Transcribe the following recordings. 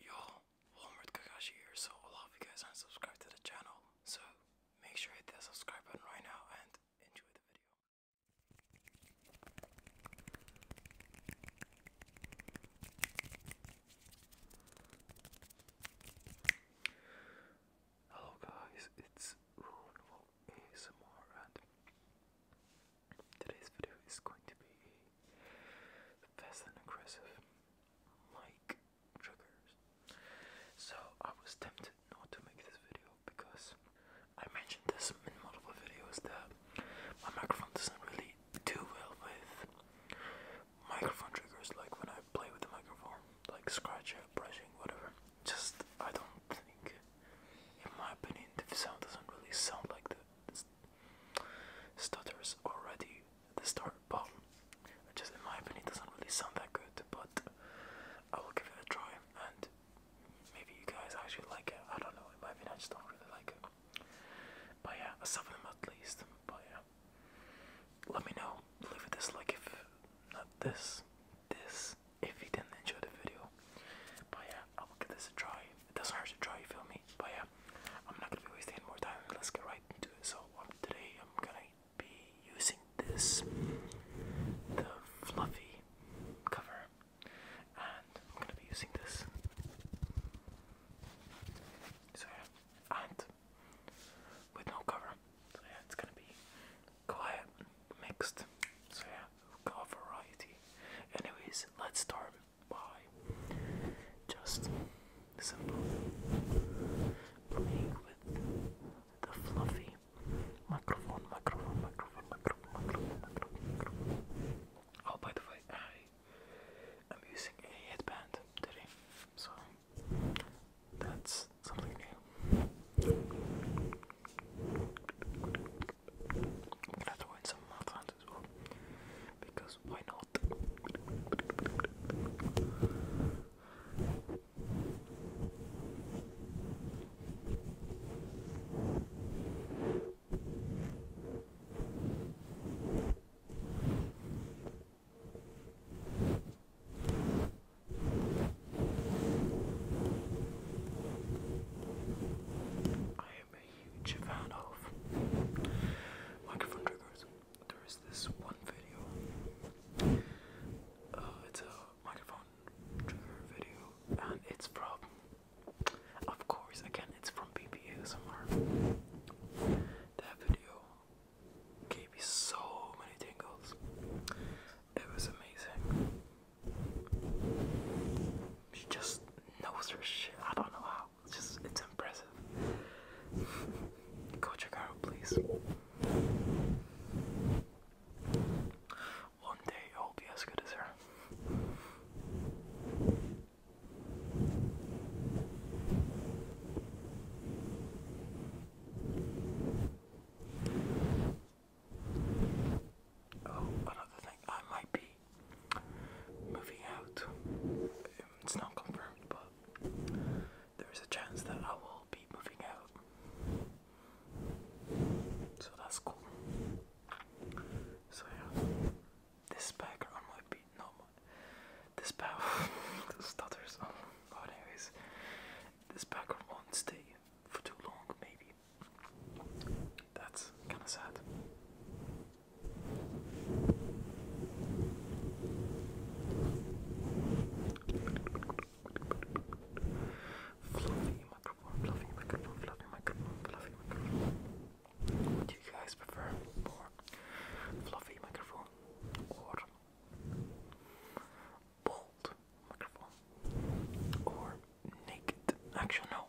Yo, Walmart Kakashi here. So a lot of you guys aren't subscribed to the channel, so make sure you hit that subscribe button right now and enjoy the video. Hello guys, it's Ruinable ASMR and Today's video is going to be fast and aggressive mic triggers. So I was tempted not to make this video because I mentioned this in multiple videos that my microphone doesn't really do well with microphone triggers like when I play with the microphone, like scratch it, brushing, whatever. Just I don't think in my opinion the sound doesn't really sound like the stutters already at the start, but just in my opinion, doesn't really sound that good. But I will give it a try, and maybe you guys actually like it. I don't know. In my opinion, I just don't really like it. But yeah, some of them at least. But yeah, let me know. Leave this like if not this, this. If you didn't enjoy the video, but yeah, I will give this a try. It doesn't hurt to try, you feel me? But yeah, I'm not gonna be wasting more time. Let's get right into it. So um, today I'm gonna be using this, the fluffy cover, and I'm gonna be using this. So yeah, and with no cover. So yeah, it's gonna be quiet, mixed. So yeah, we'll go for variety. Anyways, let's start by just simple playing with the fluffy microphone, microphone, microphone, microphone, microphone, microphone, microphone. Oh, by the way, I am using a headband today, so that's something new. I'm gonna throw in some mouth hands as well, because why not? mouth. I am a huge fan of microphone triggers. There is this one video. Uh, it's a microphone trigger video, and it's from, of course, again, it's from BBASMR. That video gave me so many tingles. It was amazing. She just knows her shit. I don't know how. It's just, it's impressive. Go check please. One day I will be as good as her. Oh, another thing, I might be moving out. It's not confirmed, but there is a chance that I will be moving out. So that's cool. So yeah, this background might be not this power stutters. Um, anyways, this background won't stay for too long, maybe. That's kind of sad. Fluffy microphone, fluffy microphone, fluffy microphone, fluffy microphone. What do you guys prefer more? Fluffy microphone or bold microphone or naked? Actually, no.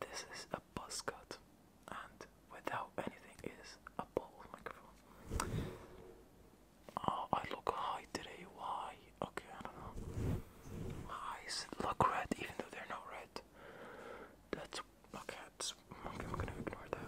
This is a buzz cut and without anything is a ball microphone. Oh, I look high today. Why? Okay, I don't know. My eyes look red, even though they're not red. That's okay. That's, okay I'm gonna ignore that.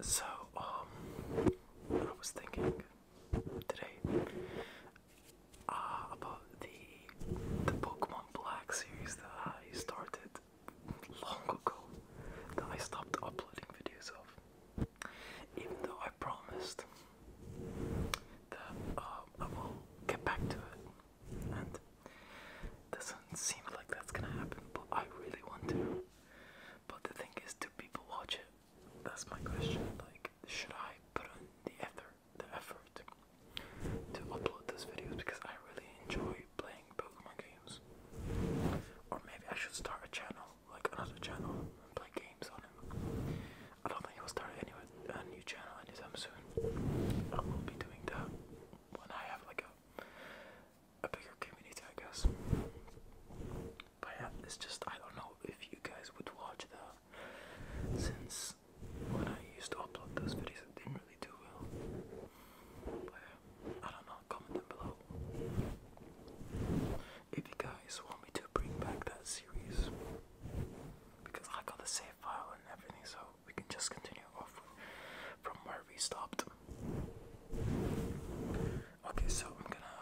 So, um, I was thinking today uh, about the the Pokemon Black series that I started long ago, that I stopped uploading videos of, even though I promised that uh, I will get back to it and doesn't seem like that's gonna happen, but I really want to. But the thing is, do people watch it? That's my question. Like, should I put on the effort, the effort to upload those videos because I really enjoy playing Pokemon games? Or maybe I should start a channel, like another channel, play games on it. I don't think I will start it anyway a, new channel anytime soon. I will be doing that when I have like a a bigger community, I guess. But yeah, it's just I don't know if you guys would watch that since when I used to upload those videos, it didn't really do well. But I don't know. Comment down below if you guys want me to bring back that series because I got the save file and everything, so we can just continue off from where we stopped. Okay, so I'm gonna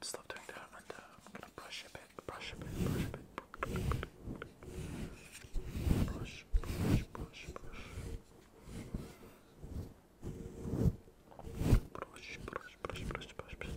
stop doing that and I'm gonna brush a bit, brush a bit, brush a bit. Brush, brush, brush, brush. Brush, brush, brush, brush, brush, brush.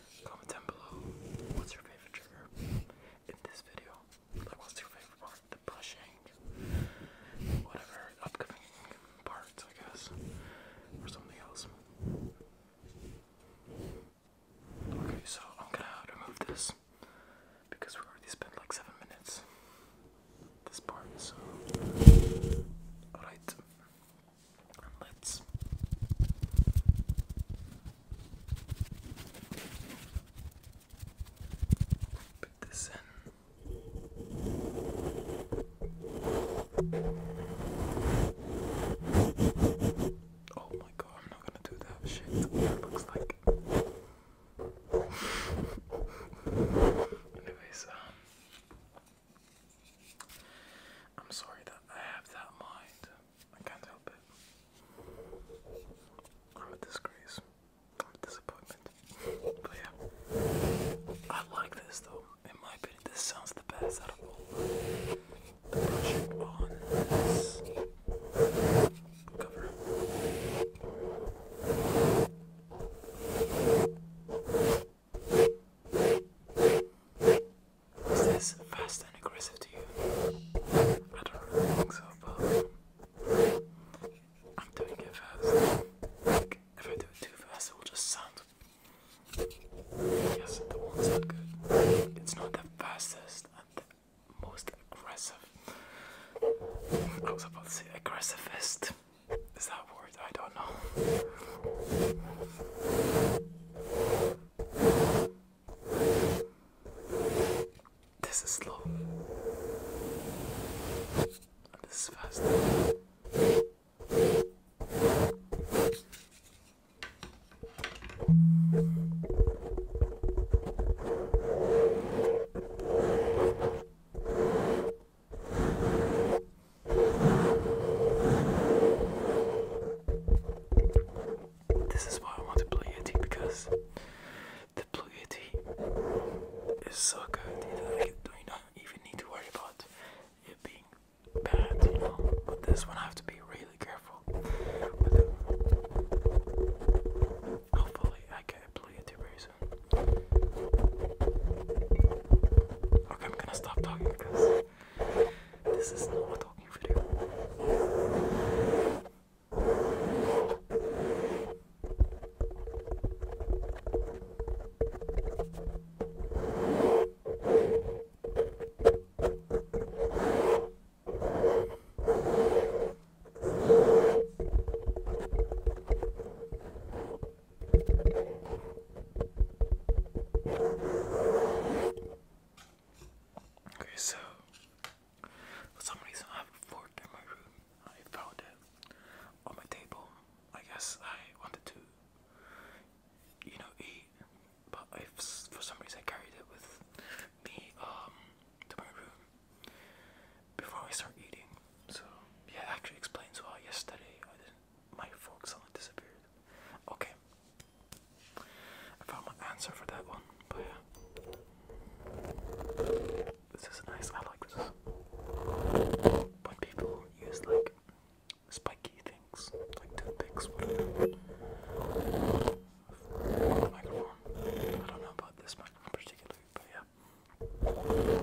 Comment down below what's your favorite trigger in this video. Like what's your favorite part? The pushing, whatever upcoming parts, I guess, or something else. Okay, so I'm gonna remove this because we already spent like seven minutes this part. So, alright. Let's put this in. Oh my god, I'm not gonna do that shit. looks like. Anyways, um. I'm sorry that I have that mind. I can't help it. I'm a disgrace. I'm a disappointment. But yeah. I like this though. In my opinion, this sounds the best out of all the project cover. Is this fast and aggressive to you? I don't think so, but I'm doing it fast. if I do it too fast, it will just sound. Yes, that will sound good. It's not the fastest and the most aggressive. I was about to say aggressivest. Is that word? I don't know. This is slow. this is fast. This is why I want to play Yeti because the play Yeti is so good that I don't even need to worry about it being bad, you know. But this one I have to be really careful Hopefully, I get a Blue very soon. Okay, I'm gonna stop talking because this is not a talking video. Okay, so for some reason I have a fork in my room. I found it on my table. I guess I wanted to, you know, eat, but for some reason I carried it with me um, to my room before I start eating. So yeah, it actually explains why yesterday My fork suddenly disappeared. Okay. I found my answer for that one, but yeah. This is nice, I like this. When people use like spiky things, like toothpicks, whatever. microphone. I don't know about this microphone particularly, but yeah.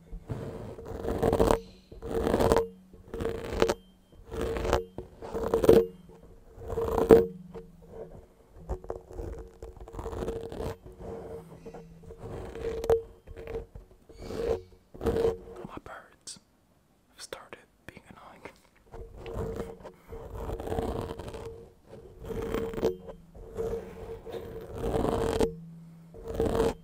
My birds have started being annoying.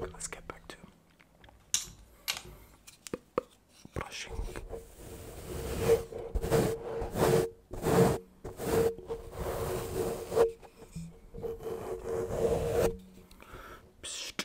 Let's get back to brushing. Psst.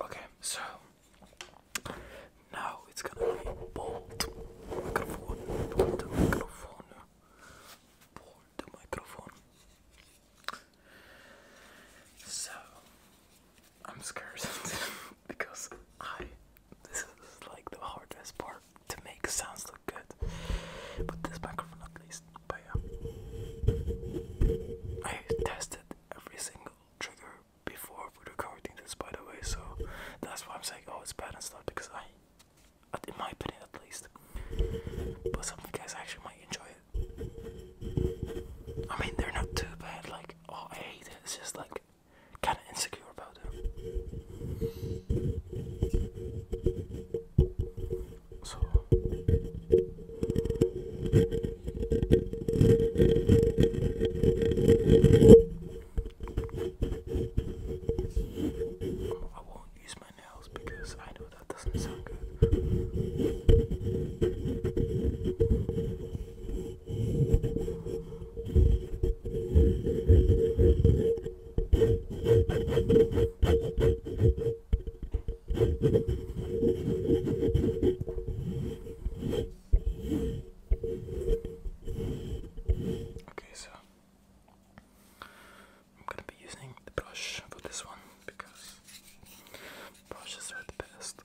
Okay, so now it's gonna be bold microphone, bold the microphone. So I'm scared because I this is like the hardest part to make sounds look good. But this microphone at least. But yeah. I tested every single trigger before recording this by the way, so that's why I'm saying oh it's bad and stuff because I in my opinion at least. But some guys actually might enjoy it. I mean, they're not too bad. Like, oh, I hate it. It's just like kind of insecure about them. So. I won't use my because I know that doesn't sound good. Okay, so I'm gonna be using the brush for this one because brushes are the best.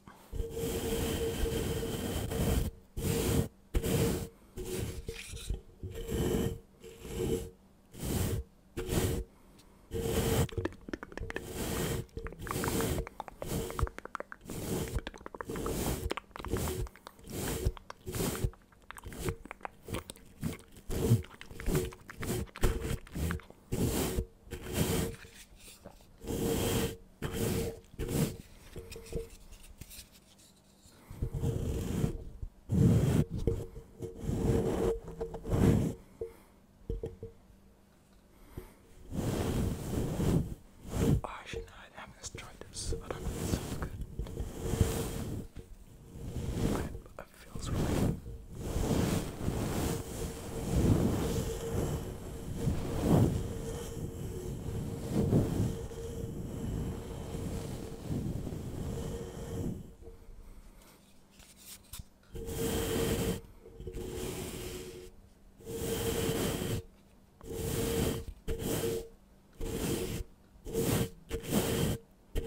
I should not have this tried this, but I mean, it sounds good. I, that feels right. I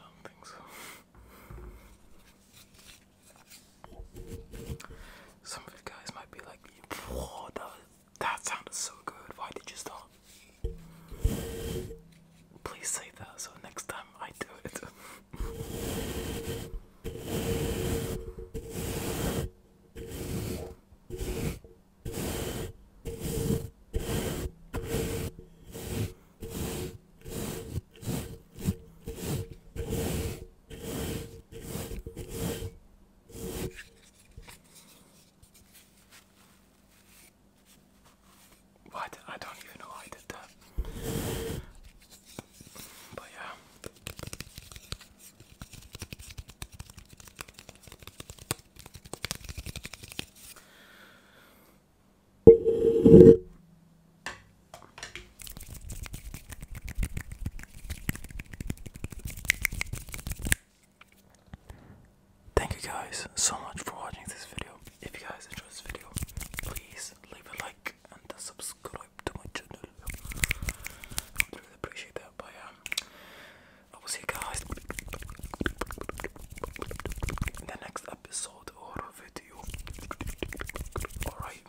don't think so. Some of you guys might be like, that, that sounded so good. Why did you stop? Please say that so next time I do it. What? I don't even know why I did that. But yeah. Thank you guys so much for watching this video. If you guys enjoy this video, please leave a like and subscribe to my channel. I would really appreciate that. But yeah, um, I will see you guys in the next episode or video. Alright.